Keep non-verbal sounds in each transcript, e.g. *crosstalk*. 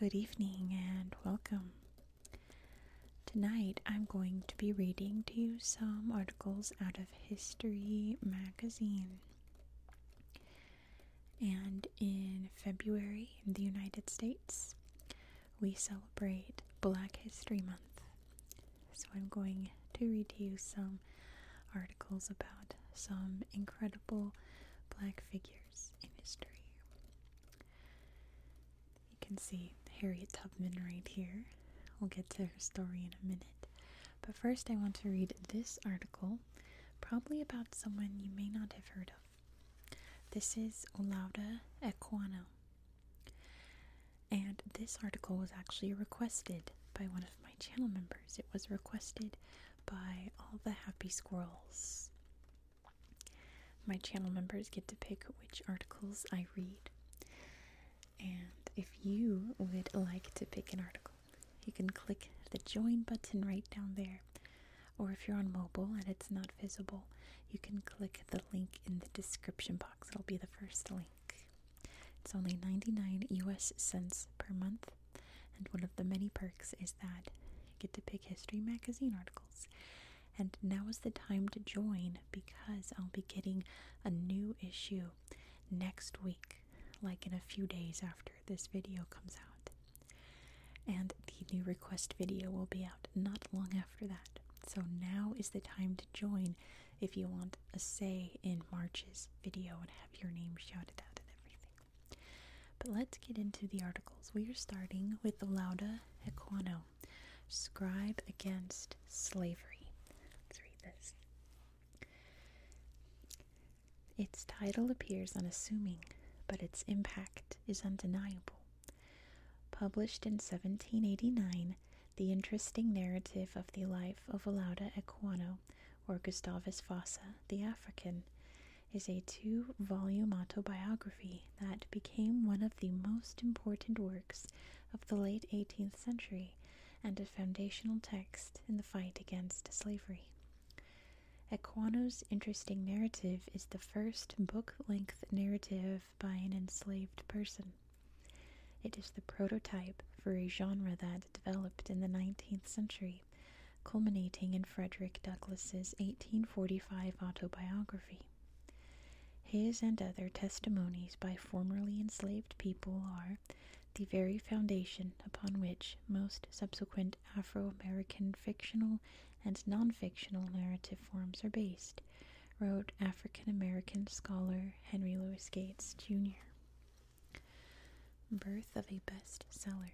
Good evening and welcome. Tonight I'm going to be reading to you some articles out of History magazine. And in February in the United States, we celebrate Black History Month. So I'm going to read to you some articles about some incredible black figures in history. You can see Harriet Tubman right here. We'll get to her story in a minute. But first, I want to read this article, probably about someone you may not have heard of. This is Olauda Equano. And this article was actually requested by one of my channel members. It was requested by all the happy squirrels. My channel members get to pick which articles I read. And if you would like to pick an article, you can click the join button right down there or if you're on mobile and it's not visible, you can click the link in the description box. It'll be the first link. It's only 99 US cents per month, and one of the many perks is that you get to pick history magazine articles. And now is the time to join because I'll be getting a new issue next week, like in a few days after this video comes out. And the new request video will be out not long after that. So now is the time to join if you want a say in March's video and have your name shouted out and everything. But let's get into the articles. We are starting with Lauda Equano, Scribe Against Slavery. Let's read this. Its title appears unassuming, but its impact is undeniable. Published in 1789, the interesting narrative of the life of Alauda Equano, or Gustavus Vassa, the African, is a two volume autobiography that became one of the most important works of the late 18th century and a foundational text in the fight against slavery. Equano's interesting narrative is the first book length narrative by an enslaved person. It is the prototype for a genre that developed in the 19th century, culminating in Frederick Douglass's 1845 autobiography. His and other testimonies by formerly enslaved people are the very foundation upon which most subsequent and Afro American fictional and non fictional narrative forms are based, wrote African American scholar Henry Louis Gates, Jr. Birth of a Bestseller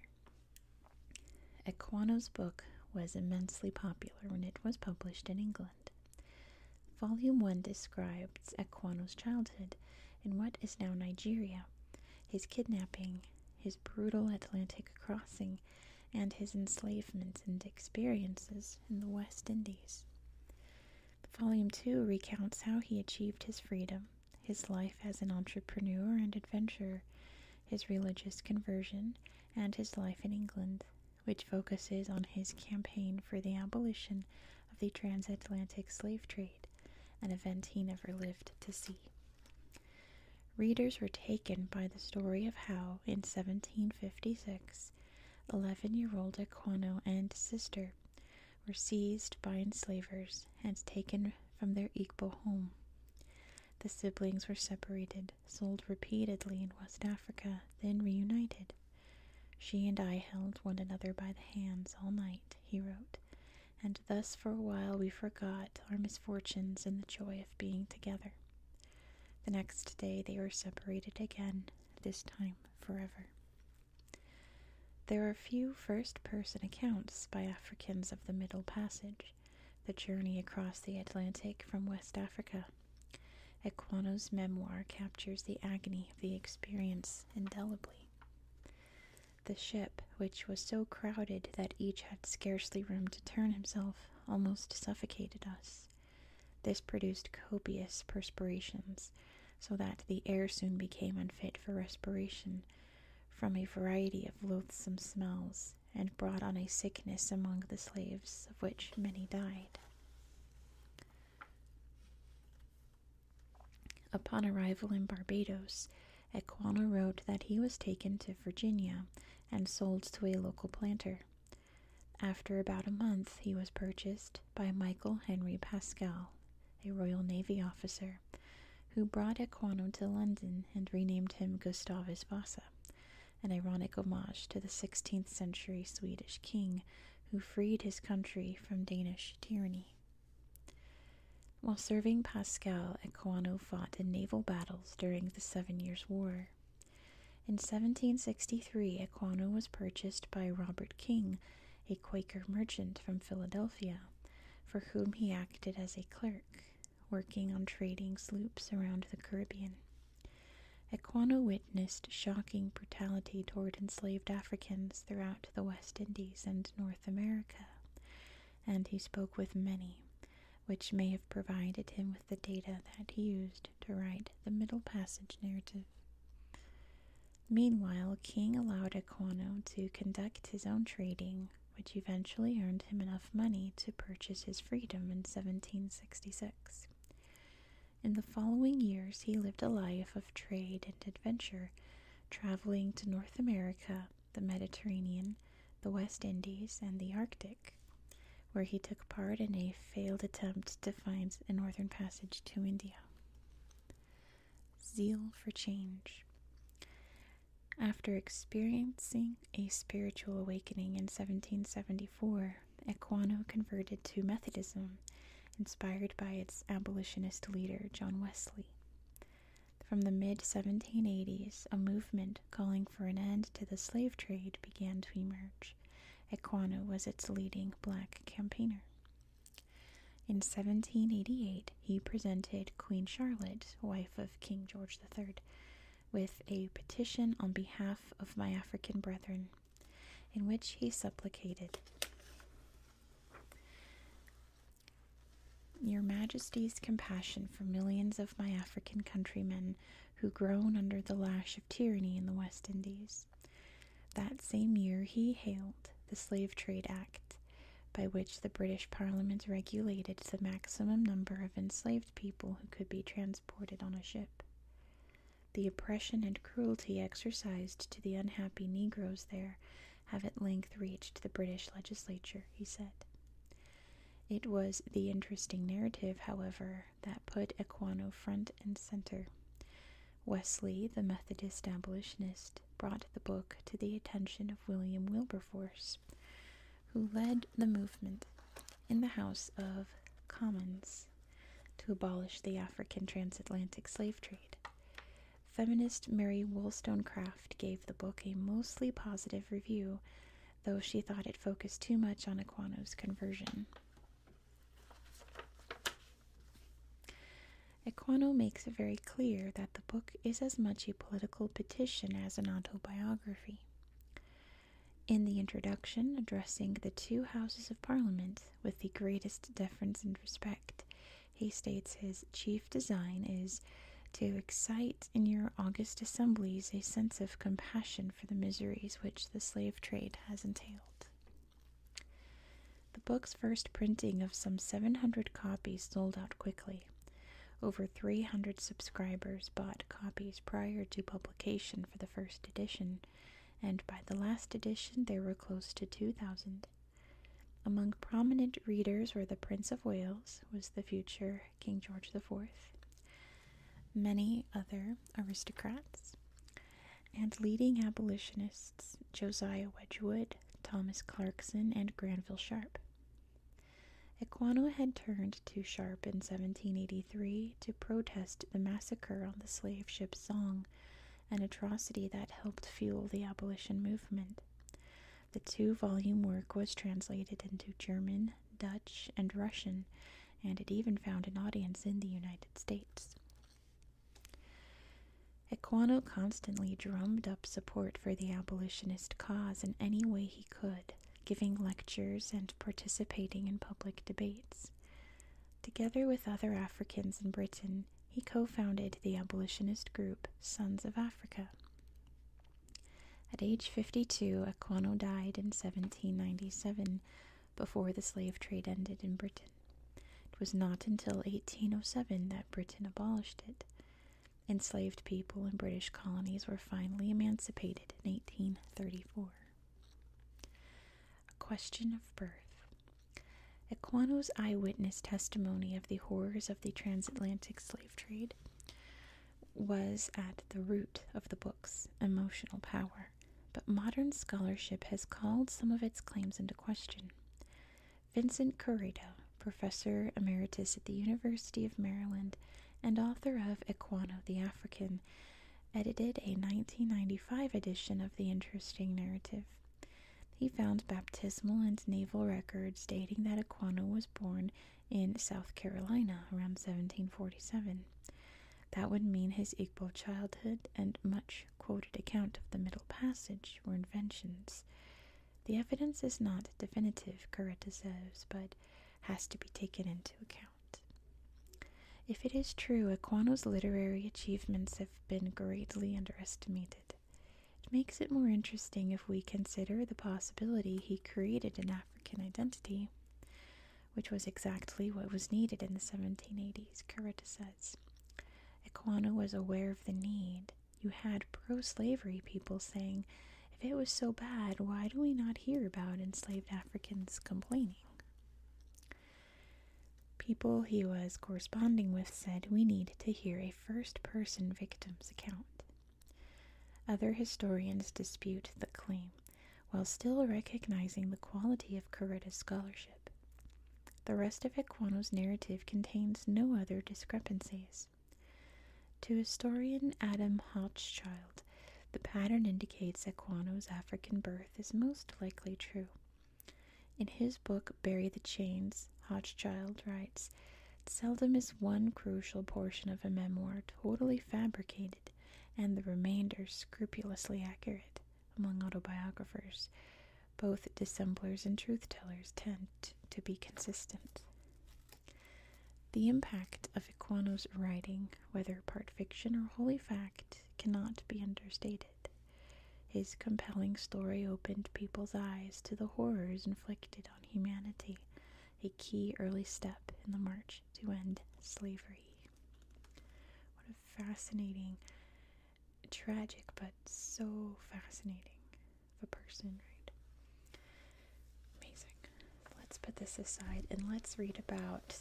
Equano's book was immensely popular when it was published in England. Volume 1 describes Equano's childhood in what is now Nigeria, his kidnapping, his brutal Atlantic crossing, and his enslavements and experiences in the West Indies. Volume 2 recounts how he achieved his freedom, his life as an entrepreneur and adventurer, his religious conversion, and his life in England, which focuses on his campaign for the abolition of the transatlantic slave trade, an event he never lived to see. Readers were taken by the story of how, in 1756, 11 year old Aquino and sister were seized by enslavers and taken from their Igbo home. The siblings were separated, sold repeatedly in West Africa, then reunited. She and I held one another by the hands all night, he wrote, and thus for a while we forgot our misfortunes in the joy of being together. The next day they were separated again, this time forever. There are few first person accounts by Africans of the Middle Passage, the journey across the Atlantic from West Africa. Equano's memoir captures the agony of the experience indelibly. The ship, which was so crowded that each had scarcely room to turn himself, almost suffocated us. This produced copious perspirations, so that the air soon became unfit for respiration from a variety of loathsome smells, and brought on a sickness among the slaves, of which many died. Upon arrival in Barbados, Equano wrote that he was taken to Virginia and sold to a local planter. After about a month, he was purchased by Michael Henry Pascal, a Royal Navy officer, who brought Equano to London and renamed him Gustavus Vasa, an ironic homage to the 16th century Swedish king who freed his country from Danish tyranny. While serving Pascal, Equano fought in naval battles during the Seven Years' War. In 1763, Aquano was purchased by Robert King, a Quaker merchant from Philadelphia, for whom he acted as a clerk, working on trading sloops around the Caribbean. Aquano witnessed shocking brutality toward enslaved Africans throughout the West Indies and North America, and he spoke with many, which may have provided him with the data that he used to write the Middle Passage narrative. Meanwhile, King allowed Aquano to conduct his own trading, which eventually earned him enough money to purchase his freedom in 1766. In the following years, he lived a life of trade and adventure, traveling to North America, the Mediterranean, the West Indies, and the Arctic, where he took part in a failed attempt to find a northern passage to India. Zeal for change. After experiencing a spiritual awakening in 1774, Equiano converted to Methodism, inspired by its abolitionist leader, John Wesley. From the mid 1780s, a movement calling for an end to the slave trade began to emerge. Ekwano was its leading black campaigner. In 1788, he presented Queen Charlotte, wife of King George III, with a petition on behalf of my African brethren, in which he supplicated your Majesty's compassion for millions of my African countrymen who groan under the lash of tyranny in the West Indies. That same year he hailed the Slave Trade Act, by which the British Parliament regulated the maximum number of enslaved people who could be transported on a ship. The oppression and cruelty exercised to the unhappy Negroes there have at length reached the British legislature, he said. It was the interesting narrative, however, that put Aquino front and center. Wesley, the Methodist abolitionist, brought the book to the attention of William Wilberforce, who led the movement in the House of Commons to abolish the African transatlantic slave trade. Feminist Mary Wollstonecraft gave the book a mostly positive review though she thought it focused too much on Aquino's conversion. Aquino makes it very clear that the book is as much a political petition as an autobiography. In the introduction, addressing the two houses of parliament with the greatest deference and respect, he states his chief design is to excite in your august assemblies a sense of compassion for the miseries which the slave trade has entailed. The book's first printing of some 700 copies sold out quickly. Over 300 subscribers bought copies prior to publication for the first edition, and by the last edition there were close to 2,000. Among prominent readers were the Prince of Wales, was the future King George IV, many other aristocrats, and leading abolitionists Josiah Wedgwood, Thomas Clarkson, and Granville Sharp. Equano had turned to Sharp in 1783 to protest the massacre on the slave ship Song, an atrocity that helped fuel the abolition movement. The two volume work was translated into German, Dutch, and Russian, and it even found an audience in the United States. Equano constantly drummed up support for the abolitionist cause in any way he could, giving lectures and participating in public debates. Together with other Africans in Britain, he co founded the abolitionist group Sons of Africa. At age 52, Aquano died in 1797 before the slave trade ended in Britain. It was not until 1807 that Britain abolished it. Enslaved people in British colonies were finally emancipated in 1834. A question of birth. Aquano's eyewitness testimony of the horrors of the transatlantic slave trade was at the root of the book's emotional power, but modern scholarship has called some of its claims into question. Vincent Corredo, professor emeritus at the University of Maryland and author of Equano the African, edited a 1995 edition of the interesting narrative. He found baptismal and naval records dating that Aquano was born in South Carolina around 1747. That would mean his Igbo childhood and much quoted account of the Middle Passage were inventions. The evidence is not definitive, Coretta says, but has to be taken into account. If it is true, Aquano's literary achievements have been greatly underestimated. It makes it more interesting if we consider the possibility he created an African identity which was exactly what was needed in the 1780s, Curita says. Equano was aware of the need. You had pro slavery people saying, if it was so bad, why do we not hear about enslaved Africans complaining? People he was corresponding with said, we need to hear a first person victim's account. Other historians dispute the claim while still recognizing the quality of Carretta's scholarship. The rest of Equano's narrative contains no other discrepancies. To historian Adam Hochschild, the pattern indicates Equano's African birth is most likely true. In his book Bury the Chains, Hochschild writes, Seldom is one crucial portion of a memoir totally fabricated and the remainder scrupulously accurate among autobiographers. Both dissemblers and truth tellers tend to be consistent. The impact of Equano's writing, whether part fiction or wholly fact, cannot be understated. His compelling story opened people's eyes to the horrors inflicted on humanity a key early step in the march to end slavery. What a fascinating, tragic, but so fascinating of a person, right? Amazing. Let's put this aside and let's read about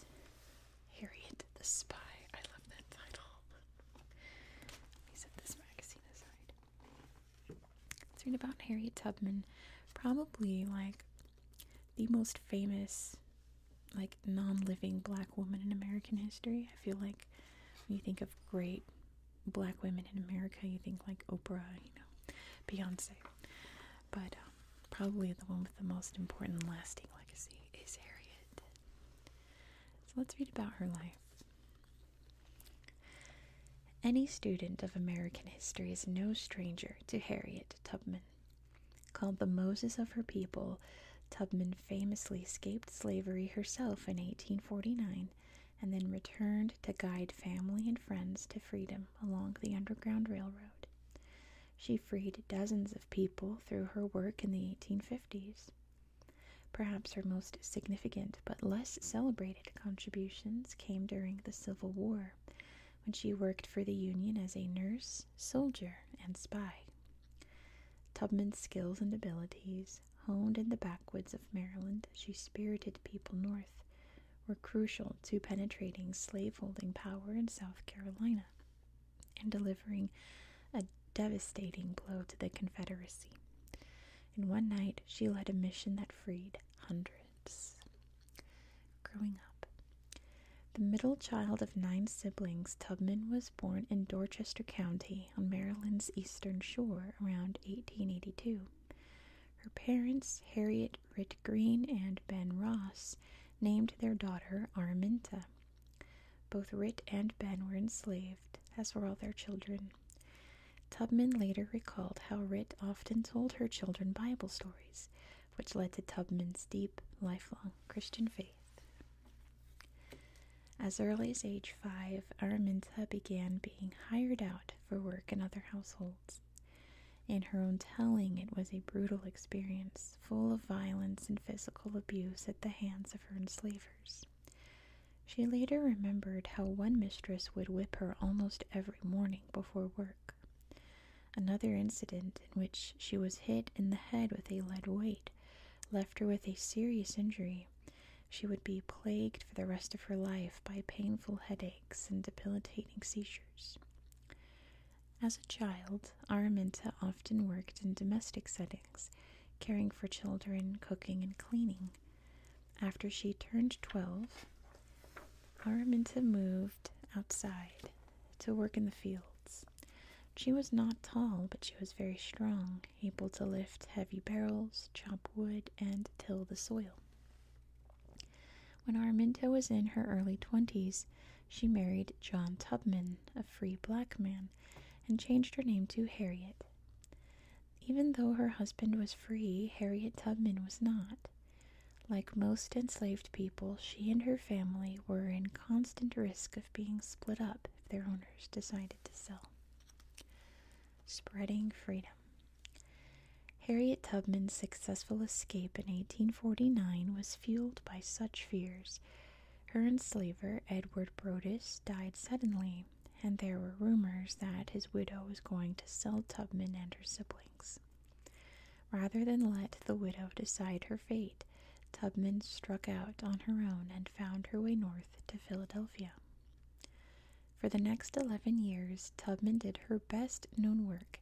Harriet the Spy. I love that title. Let me set this magazine aside. Let's read about Harriet Tubman, probably like the most famous like non-living black woman in American history. I feel like when you think of great black women in America, you think like Oprah, you know, Beyonce. But um, probably the one with the most important lasting legacy is Harriet. So let's read about her life. Any student of American history is no stranger to Harriet Tubman. Called the Moses of her people, Tubman famously escaped slavery herself in 1849 and then returned to guide family and friends to freedom along the Underground Railroad. She freed dozens of people through her work in the 1850s. Perhaps her most significant but less celebrated contributions came during the Civil War when she worked for the Union as a nurse, soldier, and spy. Tubman's skills and abilities, honed in the backwoods of Maryland as she spirited people north, were crucial to penetrating slaveholding power in South Carolina and delivering a devastating blow to the Confederacy. In one night, she led a mission that freed hundreds. Growing up. The middle child of nine siblings, Tubman was born in Dorchester County on Maryland's eastern shore around 1882. Her parents, Harriet Ritt Green and Ben Ross, named their daughter Araminta. Both Ritt and Ben were enslaved, as were all their children. Tubman later recalled how Ritt often told her children Bible stories, which led to Tubman's deep, lifelong Christian faith. As early as age five, Araminta began being hired out for work in other households. In her own telling, it was a brutal experience, full of violence and physical abuse at the hands of her enslavers. She later remembered how one mistress would whip her almost every morning before work. Another incident in which she was hit in the head with a lead weight left her with a serious injury. She would be plagued for the rest of her life by painful headaches and debilitating seizures. As a child, Araminta often worked in domestic settings, caring for children, cooking, and cleaning. After she turned 12, Araminta moved outside to work in the fields. She was not tall, but she was very strong, able to lift heavy barrels, chop wood, and till the soil. When Araminta was in her early twenties, she married John Tubman, a free black man, and changed her name to Harriet. Even though her husband was free, Harriet Tubman was not. Like most enslaved people, she and her family were in constant risk of being split up if their owners decided to sell. Spreading freedom. Harriet Tubman's successful escape in 1849 was fueled by such fears. Her enslaver, Edward Brodus, died suddenly, and there were rumors that his widow was going to sell Tubman and her siblings. Rather than let the widow decide her fate, Tubman struck out on her own and found her way north to Philadelphia. For the next 11 years, Tubman did her best known work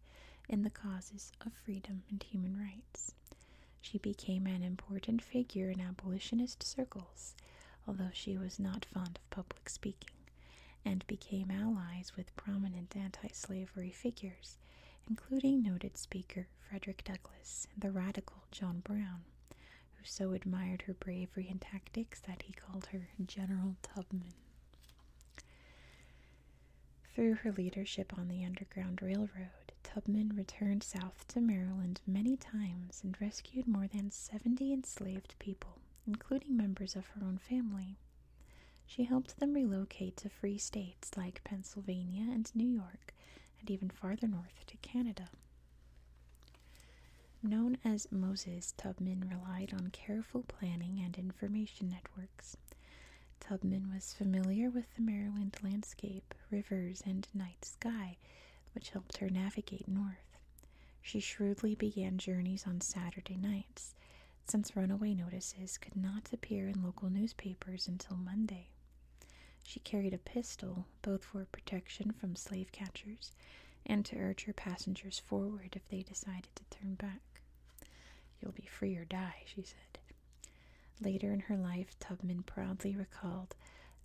in the causes of freedom and human rights. She became an important figure in abolitionist circles, although she was not fond of public speaking, and became allies with prominent anti slavery figures including noted speaker Frederick Douglass and the radical John Brown, who so admired her bravery and tactics that he called her General Tubman. Through her leadership on the Underground Railroad, Tubman returned south to Maryland many times and rescued more than 70 enslaved people, including members of her own family, she helped them relocate to free states like Pennsylvania and New York, and even farther north to Canada. Known as Moses, Tubman relied on careful planning and information networks. Tubman was familiar with the Maryland landscape, rivers, and night sky, which helped her navigate north. She shrewdly began journeys on Saturday nights, since runaway notices could not appear in local newspapers until Monday. She carried a pistol, both for protection from slave catchers and to urge her passengers forward if they decided to turn back. You'll be free or die, she said. Later in her life, Tubman proudly recalled,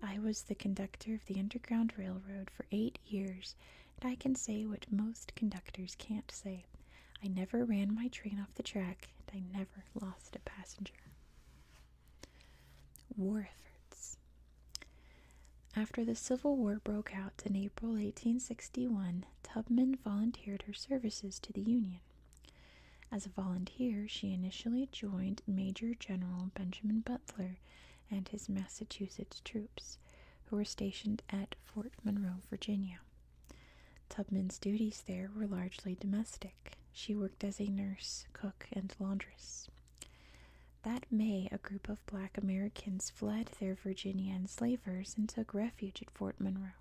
I was the conductor of the Underground Railroad for eight years, and I can say what most conductors can't say. I never ran my train off the track, and I never lost a passenger. War efforts. After the Civil War broke out in April 1861, Tubman volunteered her services to the Union. As a volunteer, she initially joined Major General Benjamin Butler and his Massachusetts troops, who were stationed at Fort Monroe, Virginia. Tubman's duties there were largely domestic. She worked as a nurse, cook, and laundress. That May, a group of black Americans fled their Virginia enslavers and took refuge at Fort Monroe.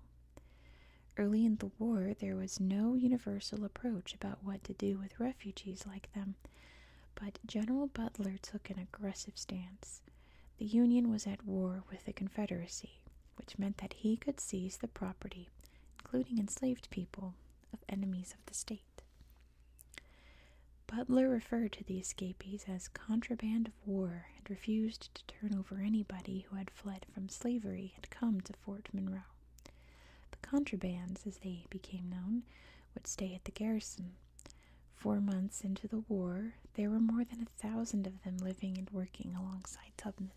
Early in the war, there was no universal approach about what to do with refugees like them, but General Butler took an aggressive stance. The Union was at war with the Confederacy, which meant that he could seize the property, including enslaved people, of enemies of the state. Butler referred to the escapees as contraband of war and refused to turn over anybody who had fled from slavery and come to Fort Monroe. The contrabands, as they became known, would stay at the garrison. Four months into the war, there were more than a thousand of them living and working alongside Tubman.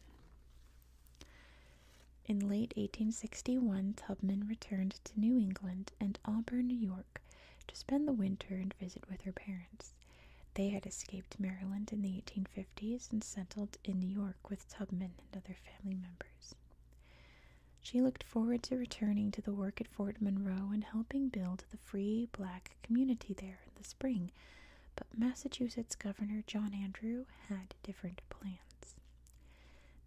In late 1861, Tubman returned to New England and Auburn, New York, to spend the winter and visit with her parents. They had escaped Maryland in the 1850s and settled in New York with Tubman and other family members. She looked forward to returning to the work at Fort Monroe and helping build the free black community there in the spring but Massachusetts Governor John Andrew had different plans.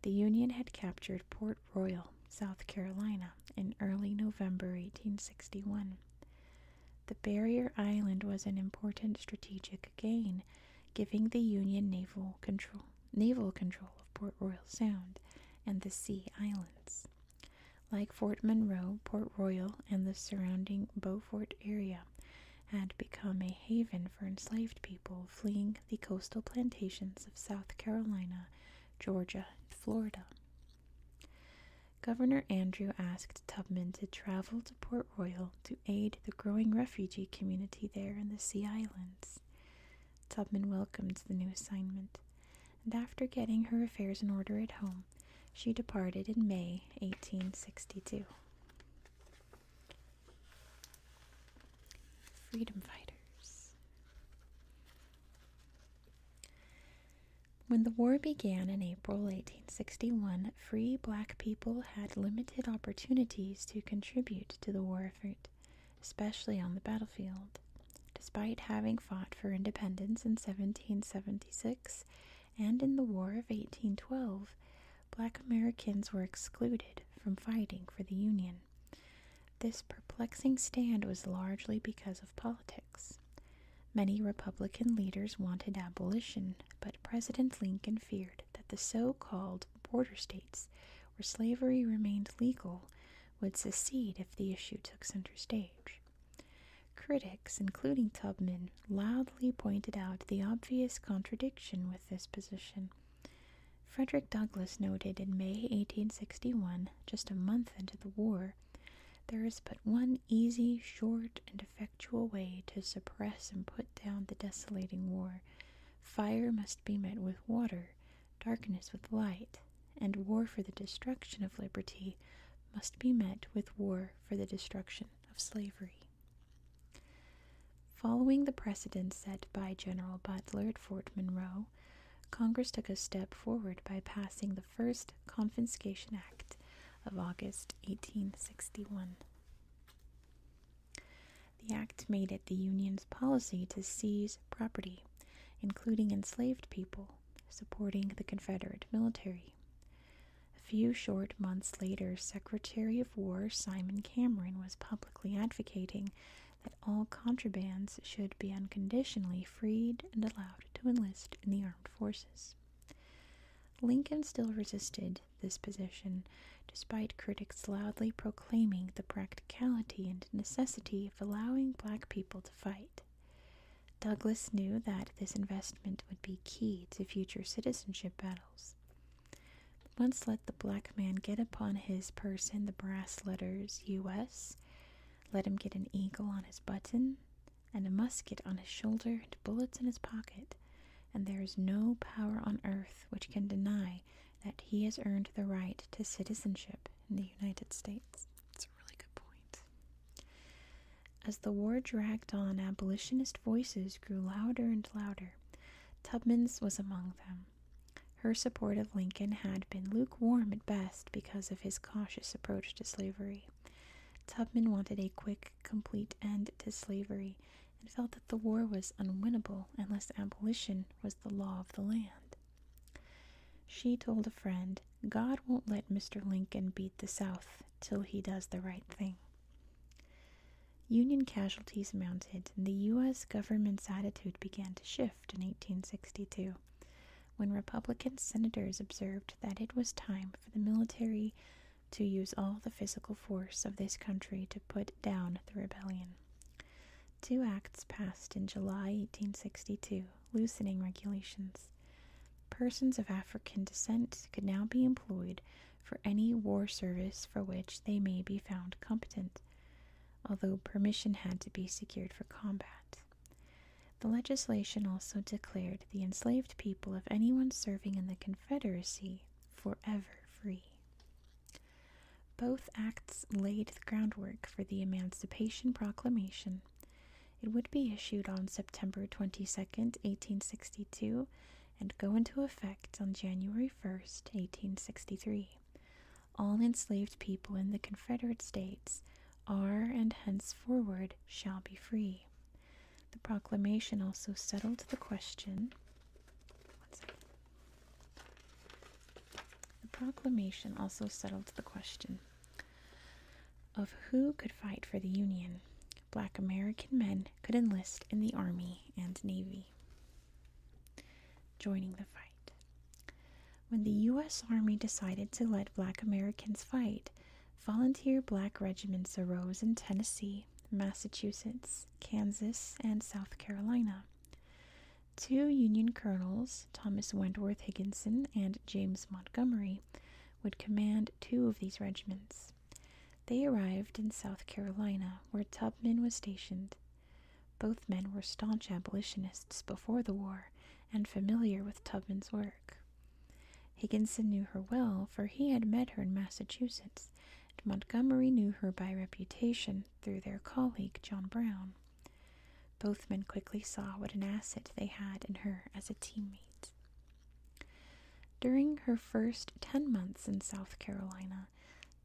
The Union had captured Port Royal, South Carolina, in early November 1861. The barrier island was an important strategic gain, giving the Union naval control, naval control of Port Royal Sound and the Sea Islands like Fort Monroe, Port Royal, and the surrounding Beaufort area, had become a haven for enslaved people fleeing the coastal plantations of South Carolina, Georgia, and Florida. Governor Andrew asked Tubman to travel to Port Royal to aid the growing refugee community there in the Sea Islands. Tubman welcomed the new assignment, and after getting her affairs in order at home, she departed in May 1862. Freedom Fighters. When the war began in April 1861, free black people had limited opportunities to contribute to the war effort, especially on the battlefield. Despite having fought for independence in 1776 and in the War of 1812, black Americans were excluded from fighting for the Union. This perplexing stand was largely because of politics. Many Republican leaders wanted abolition, but President Lincoln feared that the so called border states, where slavery remained legal, would secede if the issue took center stage. Critics, including Tubman, loudly pointed out the obvious contradiction with this position. Frederick Douglass noted in May 1861, just a month into the war, there is but one easy, short, and effectual way to suppress and put down the desolating war. Fire must be met with water, darkness with light, and war for the destruction of liberty must be met with war for the destruction of slavery. Following the precedent set by General Butler at Fort Monroe, Congress took a step forward by passing the first Confiscation Act of August 1861. The act made it the Union's policy to seize property, including enslaved people, supporting the Confederate military. A few short months later, Secretary of War Simon Cameron was publicly advocating that all contrabands should be unconditionally freed and allowed to enlist in the armed forces. Lincoln still resisted this position, despite critics loudly proclaiming the practicality and necessity of allowing black people to fight. Douglas knew that this investment would be key to future citizenship battles. Once let the black man get upon his person the brass letters U.S., let him get an eagle on his button, and a musket on his shoulder, and bullets in his pocket, and there is no power on earth which can deny that he has earned the right to citizenship in the United States. That's a really good point. As the war dragged on, abolitionist voices grew louder and louder. Tubman's was among them. Her support of Lincoln had been lukewarm at best because of his cautious approach to slavery. Tubman wanted a quick, complete end to slavery and felt that the war was unwinnable unless abolition was the law of the land. She told a friend, God won't let Mr. Lincoln beat the South till he does the right thing. Union casualties mounted, and the U.S. government's attitude began to shift in 1862 when Republican senators observed that it was time for the military to use all the physical force of this country to put down the rebellion. Two acts passed in July 1862, loosening regulations. Persons of African descent could now be employed for any war service for which they may be found competent, although permission had to be secured for combat. The legislation also declared the enslaved people of anyone serving in the Confederacy forever free. Both acts laid the groundwork for the Emancipation Proclamation. It would be issued on September 22, 1862, and go into effect on January first, 1863. All enslaved people in the Confederate States are and henceforward shall be free. The proclamation also settled the question. The proclamation also settled the question of who could fight for the Union black American men could enlist in the Army and Navy. Joining the fight. When the U.S. Army decided to let black Americans fight, volunteer black regiments arose in Tennessee, Massachusetts, Kansas, and South Carolina. Two Union colonels, Thomas Wentworth Higginson and James Montgomery, would command two of these regiments. They arrived in South Carolina, where Tubman was stationed. Both men were staunch abolitionists before the war and familiar with Tubman's work. Higginson knew her well, for he had met her in Massachusetts, and Montgomery knew her by reputation through their colleague John Brown. Both men quickly saw what an asset they had in her as a teammate. During her first 10 months in South Carolina,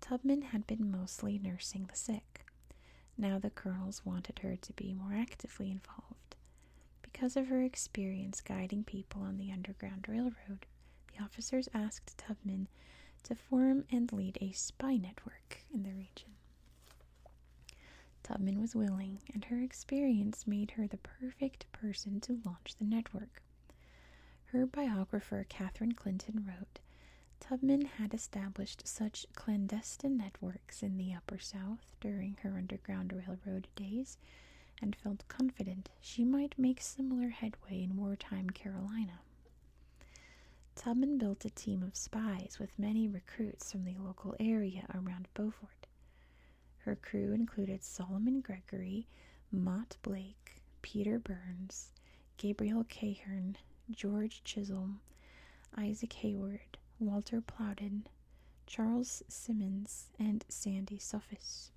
Tubman had been mostly nursing the sick. Now the colonels wanted her to be more actively involved. Because of her experience guiding people on the Underground Railroad, the officers asked Tubman to form and lead a spy network in the region. Tubman was willing, and her experience made her the perfect person to launch the network. Her biographer, Catherine Clinton, wrote Tubman had established such clandestine networks in the Upper South during her Underground Railroad days and felt confident she might make similar headway in wartime Carolina. Tubman built a team of spies with many recruits from the local area around Beaufort. Her crew included Solomon Gregory, Mott Blake, Peter Burns, Gabriel Cahern, George Chisholm, Isaac Hayward, Walter Plowden, Charles Simmons, and Sandy Suffis.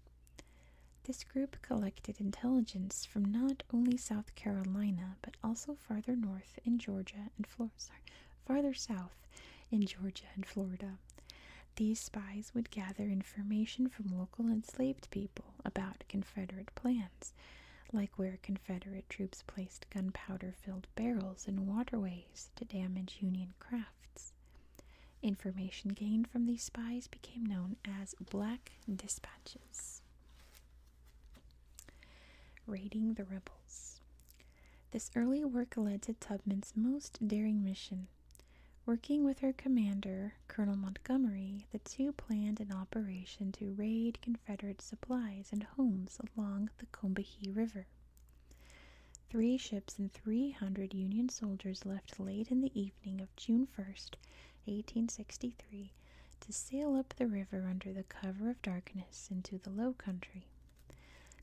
This group collected intelligence from not only South Carolina but also farther north in Georgia and farther south in Georgia and Florida. These spies would gather information from local enslaved people about Confederate plans, like where Confederate troops placed gunpowder filled barrels in waterways to damage Union crafts. Information gained from these spies became known as Black Dispatches. Raiding the Rebels. This early work led to Tubman's most daring mission Working with her commander, Colonel Montgomery, the two planned an operation to raid Confederate supplies and homes along the Combahee River. Three ships and 300 Union soldiers left late in the evening of June 1, 1863, to sail up the river under the cover of darkness into the low country.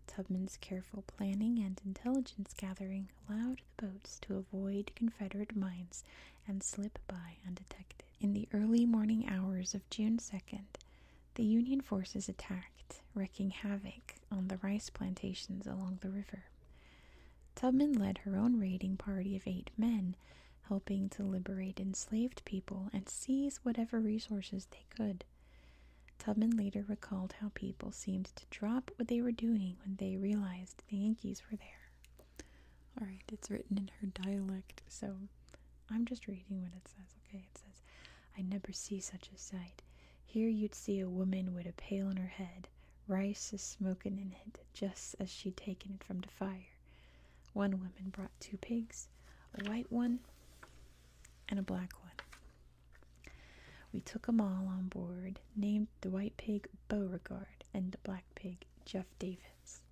Tubman's careful planning and intelligence gathering allowed the boats to avoid Confederate mines and slip by undetected. In the early morning hours of June 2nd, the Union forces attacked, wreaking havoc on the rice plantations along the river. Tubman led her own raiding party of eight men, helping to liberate enslaved people and seize whatever resources they could. Tubman later recalled how people seemed drop what they were doing when they realized the Yankees were there. All right, it's written in her dialect, so I'm just reading what it says, okay? It says, I never see such a sight. Here you'd see a woman with a pail on her head, rice is smokin' in it, just as she'd taken it from the fire. One woman brought two pigs, a white one and a black one. We took 'em all on board, named the white pig Beauregard and the black pig Jeff Davis.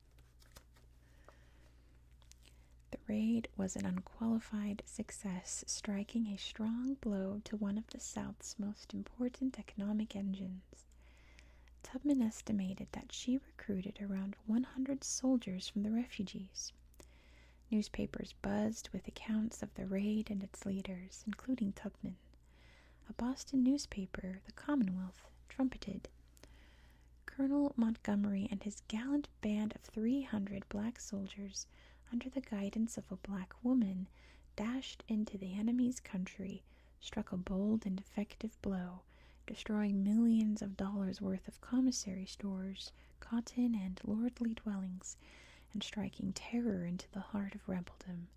The raid was an unqualified success, striking a strong blow to one of the South's most important economic engines. Tubman estimated that she recruited around 100 soldiers from the refugees. Newspapers buzzed with accounts of the raid and its leaders, including Tubman. A Boston newspaper, the Commonwealth, trumpeted Colonel Montgomery and his gallant band of 300 black soldiers, under the guidance of a black woman, dashed into the enemy's country, struck a bold and effective blow, destroying millions of dollars worth of commissary stores, cotton, and lordly dwellings, and striking terror into the heart of rebeldom,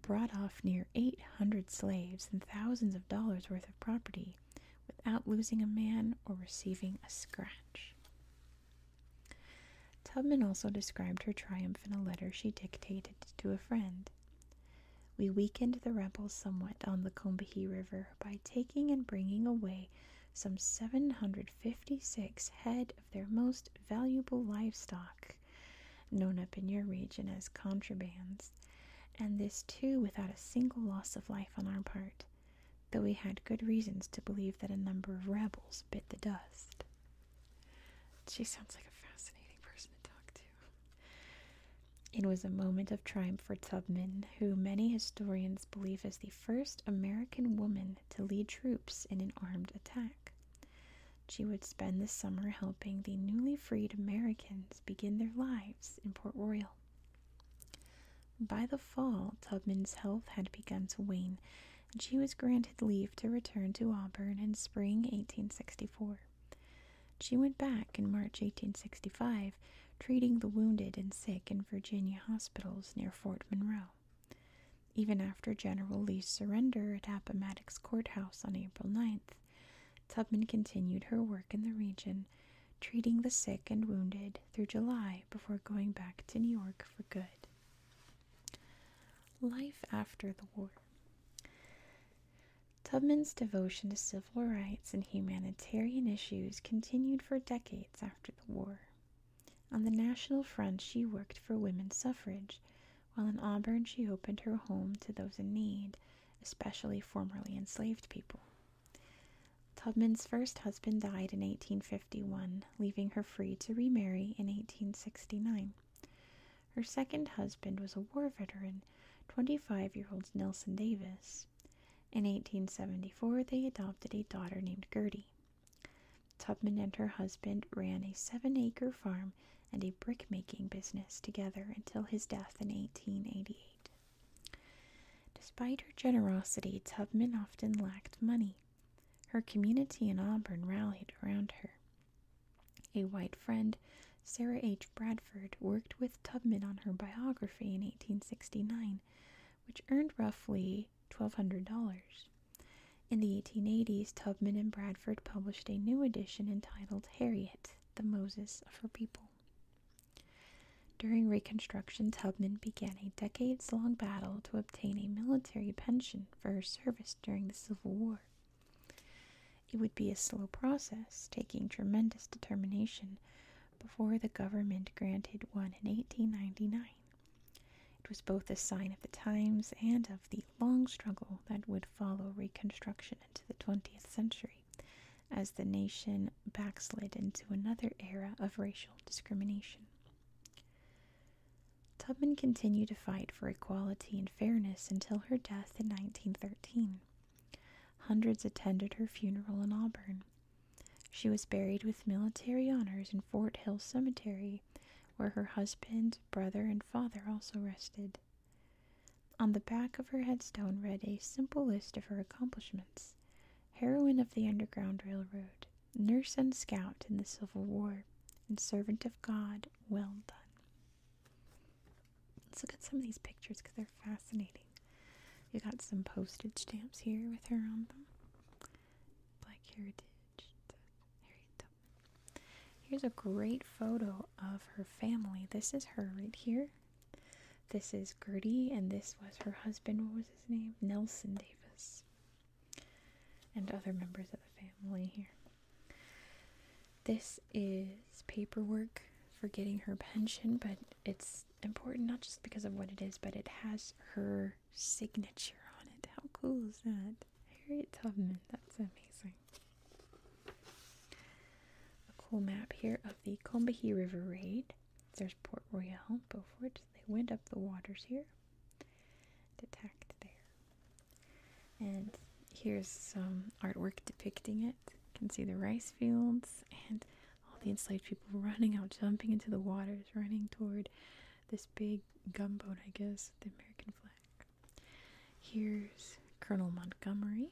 brought off near 800 slaves and thousands of dollars worth of property without losing a man or receiving a scratch. Tubman also described her triumph in a letter she dictated to a friend. We weakened the rebels somewhat on the Combahee River by taking and bringing away some 756 head of their most valuable livestock, known up in your region as contrabands, and this too without a single loss of life on our part, though we had good reasons to believe that a number of rebels bit the dust. She sounds like a fascinating person to talk to. It was a moment of triumph for Tubman, who many historians believe is the first American woman to lead troops in an armed attack. She would spend the summer helping the newly freed Americans begin their lives in Port Royal. By the fall, Tubman's health had begun to wane, and she was granted leave to return to Auburn in spring 1864. She went back in March 1865, treating the wounded and sick in Virginia hospitals near Fort Monroe. Even after General Lee's surrender at Appomattox Courthouse on April 9th, Tubman continued her work in the region, treating the sick and wounded through July before going back to New York for good. Life after the war. Tubman's devotion to civil rights and humanitarian issues continued for decades after the war. On the National Front, she worked for women's suffrage, while in Auburn, she opened her home to those in need, especially formerly enslaved people. Tubman's first husband died in 1851, leaving her free to remarry in 1869. Her second husband was a war veteran, 25 year old Nelson Davis. In 1874, they adopted a daughter named Gertie. Tubman and her husband ran a seven acre farm and a brickmaking business together until his death in 1888. Despite her generosity, Tubman often lacked money. Her community in Auburn rallied around her. A white friend, Sarah H. Bradford, worked with Tubman on her biography in 1869, which earned roughly $1,200. In the 1880s, Tubman and Bradford published a new edition entitled Harriet, the Moses of Her People. During Reconstruction, Tubman began a decades long battle to obtain a military pension for her service during the Civil War. It would be a slow process, taking tremendous determination, before the government granted one in 1899. It was both a sign of the times and of the long struggle that would follow Reconstruction into the 20th century as the nation backslid into another era of racial discrimination. Tubman continued to fight for equality and fairness until her death in 1913. Hundreds attended her funeral in Auburn. She was buried with military honors in Fort Hill Cemetery where her husband, brother, and father also rested. On the back of her headstone read a simple list of her accomplishments heroine of the Underground Railroad, nurse and scout in the Civil War, and servant of God, well done. Let's look at some of these pictures because they're fascinating. You got some postage stamps here with her on them. Black Heritage, Here's a great photo of her family. This is her right here. This is Gertie, and this was her husband. What was his name? Nelson Davis. And other members of the family here. This is paperwork for getting her pension, but it's important not just because of what it is, but it has her signature on it. How cool is that? Harriet Tubman, that's amazing. A cool map here of the Combahee River Raid. There's Port Royal, Beaufort. They went up the waters here and attacked there. And here's some artwork depicting it. You can see the rice fields and all the enslaved people running out, jumping into the waters, running toward this big gumboat, I guess, the American flag. Here's Colonel Montgomery.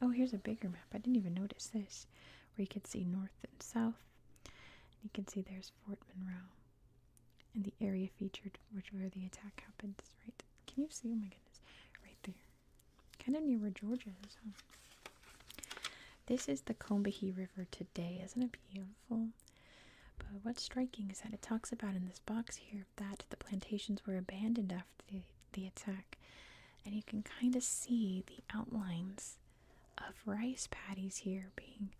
Oh, here's a bigger map. I didn't even notice this, where you can see north and south. you can see there's Fort Monroe and the area featured, which where the attack happens. right. Can you see? Oh my goodness, right there. Kind of near where Georgia is. This is the Combahee River today. Isn't it beautiful? But what's striking is that it talks about in this box here that the plantations were abandoned after the, the attack, and you can kind of see the outlines of rice paddies here being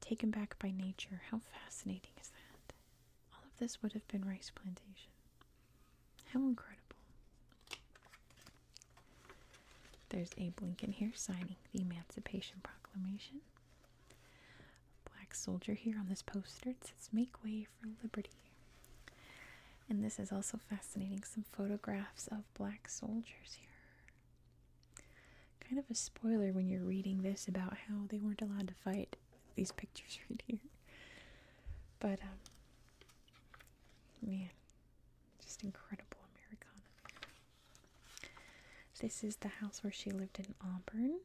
taken back by nature. How fascinating is that? All of this would have been rice plantation. How incredible. There's Abe Lincoln here signing the Emancipation Proclamation. Black soldier here on this poster. It says, Make way for liberty. And this is also fascinating. Some photographs of black soldiers here. Kind of a spoiler when you're reading this about how they weren't allowed to fight. These *laughs* pictures right here. But, um, man, just incredible Americana. This is the house where she lived in Auburn.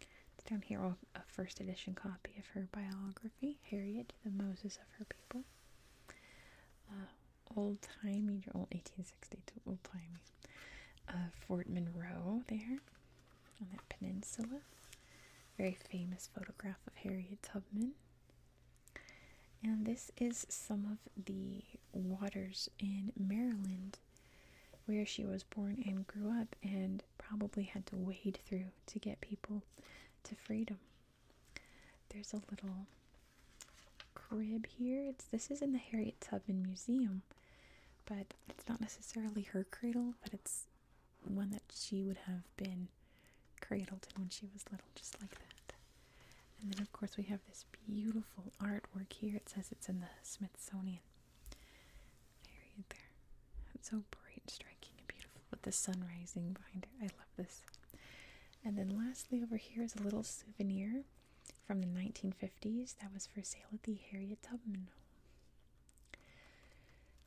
It's down here a first edition copy of her biography, Harriet, the Moses of her people. Uh, old timey, old eighteen sixty-two old timey. Uh, Fort Monroe there on that peninsula. Very famous photograph of Harriet Tubman. And this is some of the Waters in Maryland, where she was born and grew up, and probably had to wade through to get people to freedom. There's a little crib here. It's this is in the Harriet Tubman Museum, but it's not necessarily her cradle, but it's one that she would have been cradled in when she was little, just like that. And then, of course, we have this beautiful artwork here. It says it's in the Smithsonian. Period there. It's so bright, and striking, and beautiful with the sun rising behind it. I love this. And then, lastly, over here is a little souvenir from the 1950s that was for sale at the Harriet Tubman Home.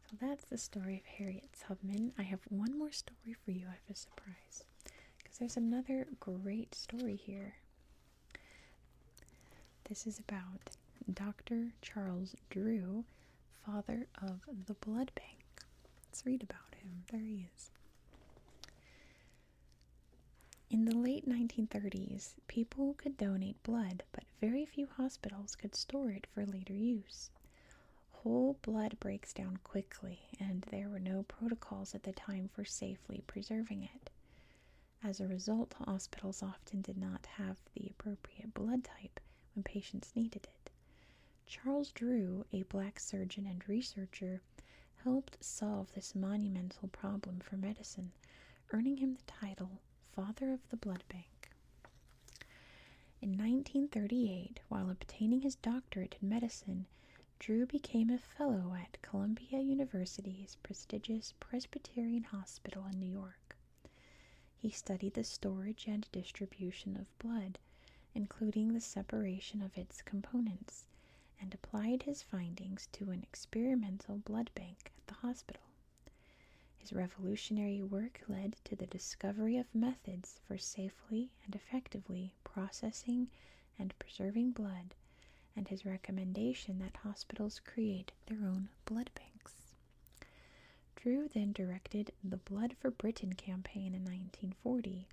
So that's the story of Harriet Tubman. I have one more story for you. I have a surprise because there's another great story here this is about Dr. Charles Drew, father of the blood bank. Let's read about him. There he is. In the late 1930s, people could donate blood, but very few hospitals could store it for later use. Whole blood breaks down quickly, and there were no protocols at the time for safely preserving it. As a result, hospitals often did not have the appropriate blood type when patients needed it. Charles Drew, a black surgeon and researcher, helped solve this monumental problem for medicine, earning him the title Father of the Blood Bank. In 1938, while obtaining his doctorate in medicine, Drew became a fellow at Columbia University's prestigious Presbyterian Hospital in New York. He studied the storage and distribution of blood, including the separation of its components, and applied his findings to an experimental blood bank at the hospital. His revolutionary work led to the discovery of methods for safely and effectively processing and preserving blood, and his recommendation that hospitals create their own blood banks. Drew then directed the Blood for Britain campaign in 1940,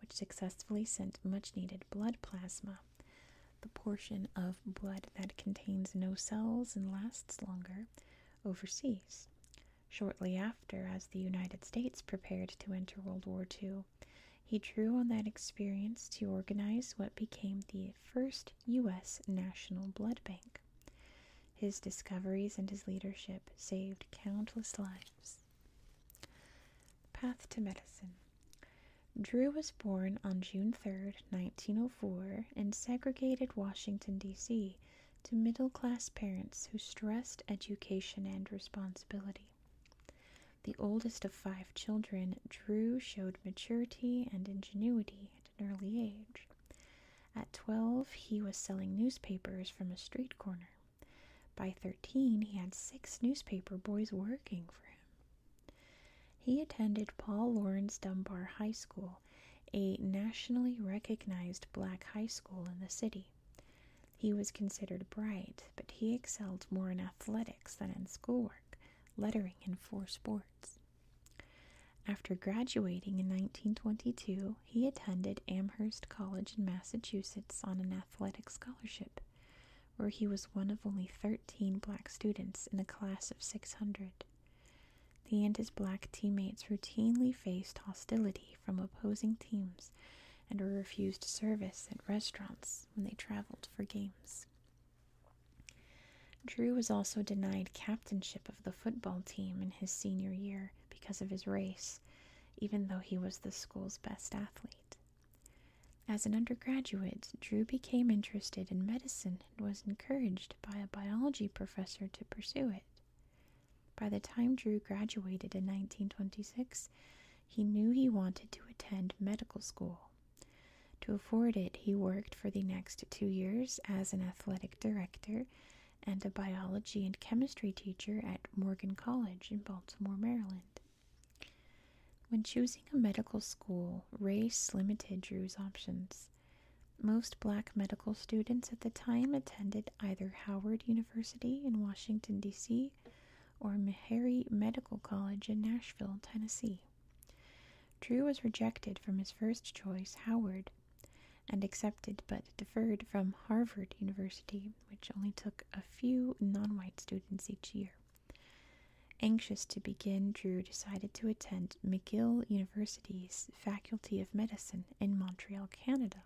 which successfully sent much needed blood plasma, the portion of blood that contains no cells and lasts longer, overseas. Shortly after, as the United States prepared to enter World War II, he drew on that experience to organize what became the first U.S. national blood bank. His discoveries and his leadership saved countless lives. Path to Medicine Drew was born on June 3, 1904, in segregated Washington, D.C., to middle class parents who stressed education and responsibility. The oldest of five children, Drew showed maturity and ingenuity at an early age. At 12, he was selling newspapers from a street corner. By 13, he had six newspaper boys working for him. He attended Paul Laurence Dunbar High School, a nationally recognized black high school in the city. He was considered bright, but he excelled more in athletics than in schoolwork lettering in four sports. After graduating in 1922, he attended Amherst College in Massachusetts on an athletic scholarship, where he was one of only 13 black students in a class of 600. He and his black teammates routinely faced hostility from opposing teams and were refused service at restaurants when they traveled for games. Drew was also denied captainship of the football team in his senior year because of his race, even though he was the school's best athlete. As an undergraduate, Drew became interested in medicine and was encouraged by a biology professor to pursue it. By the time Drew graduated in 1926, he knew he wanted to attend medical school to afford it, he worked for the next two years as an athletic director and a biology and chemistry teacher at Morgan College in Baltimore, Maryland. When choosing a medical school, race limited Drew's options. Most black medical students at the time attended either Howard University in Washington, D.C., or Meharry Medical College in Nashville, Tennessee. Drew was rejected from his first choice, Howard, and accepted but deferred from Harvard University, which only took a few non white students each year. Anxious to begin, Drew decided to attend McGill University's Faculty of Medicine in Montreal, Canada.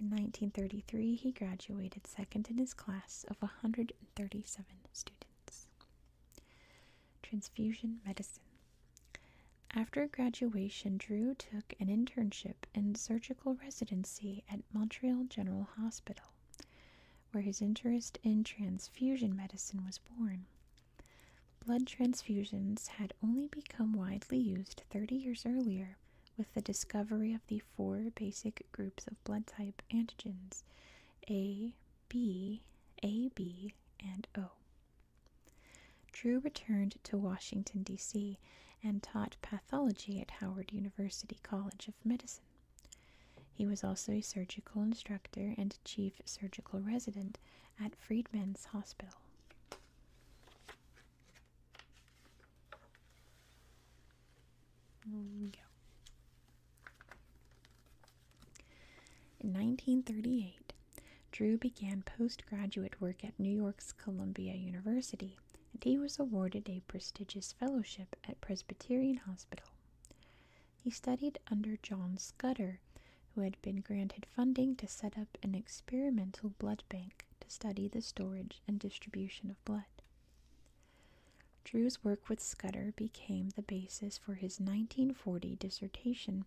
In 1933, he graduated second in his class of 137 students. Transfusion Medicine. After graduation, Drew took an internship in surgical residency at Montreal General Hospital, where his interest in transfusion medicine was born. Blood transfusions had only become widely used 30 years earlier with the discovery of the four basic groups of blood type antigens a, B, A, B, and O. Drew returned to Washington, D.C., and taught pathology at Howard University College of Medicine. He was also a surgical instructor and chief surgical resident at Freedmen's Hospital. In 1938, Drew began postgraduate work at New York's Columbia University, and he was awarded a prestigious fellowship at Presbyterian Hospital. He studied under John Scudder, who had been granted funding to set up an experimental blood bank to study the storage and distribution of blood. Drew's work with Scudder became the basis for his 1940 dissertation,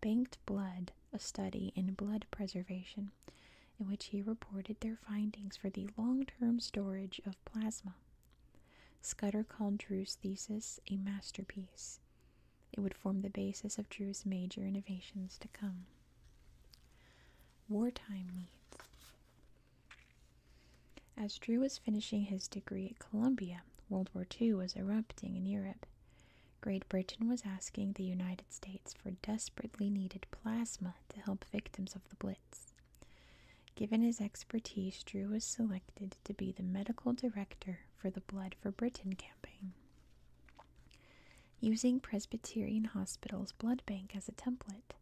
Banked Blood A Study in Blood Preservation, in which he reported their findings for the long term storage of plasma. Scudder called Drew's thesis a masterpiece. It would form the basis of Drew's major innovations to come. Wartime needs. As Drew was finishing his degree at Columbia, World War II was erupting in Europe. Great Britain was asking the United States for desperately needed plasma to help victims of the Blitz. Given his expertise, Drew was selected to be the medical director for the Blood for Britain campaign. Using Presbyterian Hospital's blood bank as a template,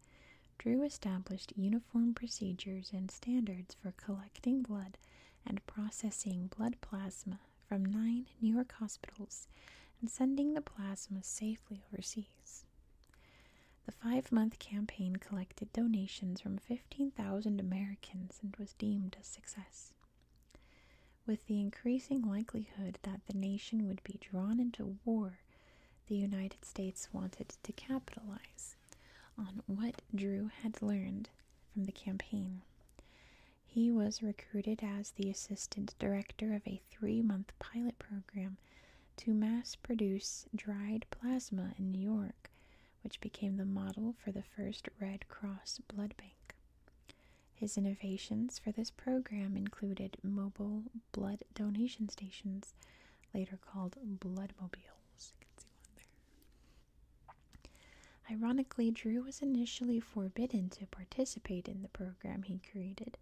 Drew established uniform procedures and standards for collecting blood and processing blood plasma from nine New York hospitals and sending the plasma safely overseas. The five month campaign collected donations from 15,000 Americans and was deemed a success. With the increasing likelihood that the nation would be drawn into war, the United States wanted to capitalize on what Drew had learned from the campaign. He was recruited as the assistant director of a three month pilot program to mass produce dried plasma in New York, which became the model for the first Red Cross blood bank. His innovations for this program included mobile blood donation stations, later called bloodmobiles. Ironically, Drew was initially forbidden to participate in the program he created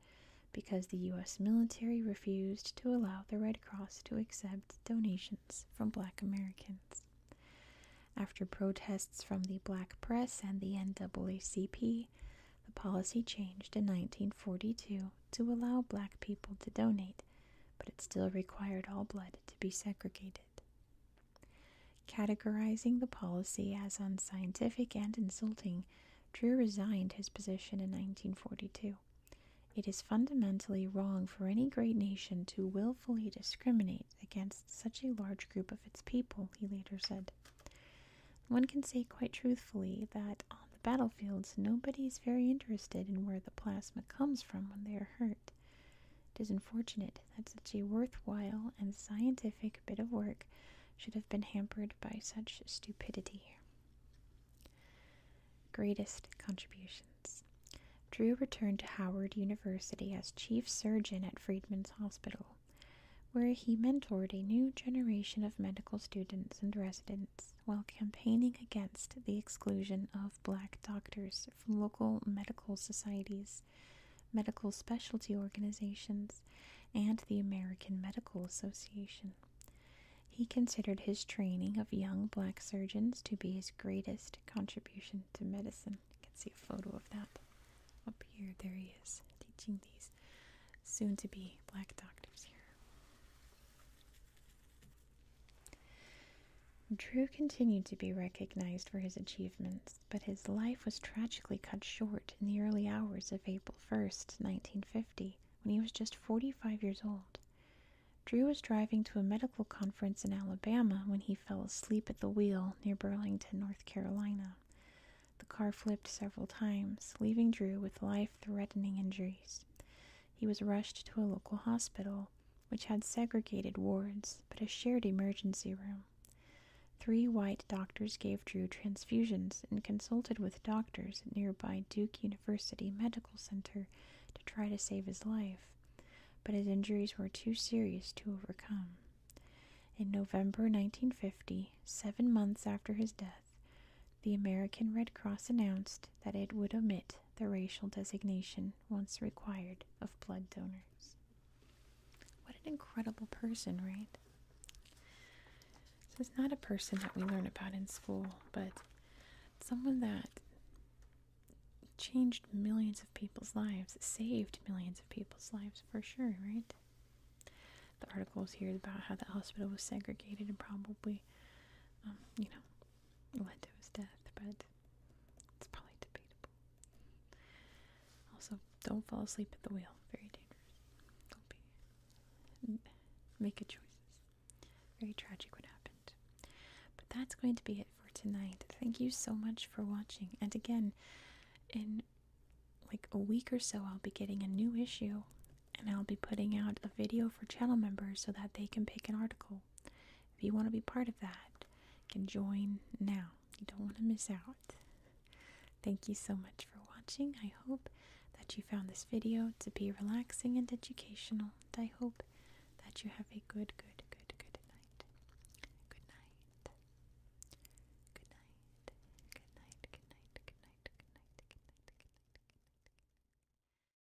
because the U.S. military refused to allow the Red Cross to accept donations from black Americans. After protests from the black press and the NAACP, the policy changed in 1942 to allow black people to donate but it still required all blood to be segregated. Categorizing the policy as unscientific and insulting, Drew resigned his position in 1942. It is fundamentally wrong for any great nation to willfully discriminate against such a large group of its people, he later said. One can say quite truthfully that the battlefields, nobody is very interested in where the plasma comes from when they are hurt. It is unfortunate that such a worthwhile and scientific bit of work should have been hampered by such stupidity. Greatest contributions. Drew returned to Howard University as chief surgeon at Freedman's Hospital, where he mentored a new generation of medical students and residents while campaigning against the exclusion of black doctors from local medical societies, medical specialty organizations, and the American Medical Association. He considered his training of young black surgeons to be his greatest contribution to medicine. You can see a photo of that up here. There he is, teaching these soon to be black doctors here. Drew continued to be recognized for his achievements, but his life was tragically cut short in the early hours of April 1st, 1950, when he was just 45 years old. Drew was driving to a medical conference in Alabama when he fell asleep at the wheel near Burlington, North Carolina. The car flipped several times, leaving Drew with life threatening injuries. He was rushed to a local hospital, which had segregated wards but a shared emergency room. Three white doctors gave Drew transfusions and consulted with doctors at nearby Duke University Medical Center to try to save his life, but his injuries were too serious to overcome. In November 1950, seven months after his death, the American Red Cross announced that it would omit the racial designation, once required, of blood donors. What an incredible person, right? This is not a person that we learn about in school, but someone that changed millions of people's lives, saved millions of people's lives for sure, right? The articles here about how the hospital was segregated and probably, um, you know, went to his death, but it's probably debatable. Also, don't fall asleep at the wheel. Very dangerous. Don't be. Make good choices. Very tragic what happened. But that's going to be it for tonight. Thank you so much for watching. And again, in like a week or so, I'll be getting a new issue and I'll be putting out a video for channel members so that they can pick an article if you want to be part of that, you can join now. You don't want to miss out. Thank you so much for watching. I hope that you found this video to be relaxing and educational. And I hope that you have a good, good, good, good night. Good night. Good night. Good night. Good night. Good night. Good night. Good night. Good night. Good night.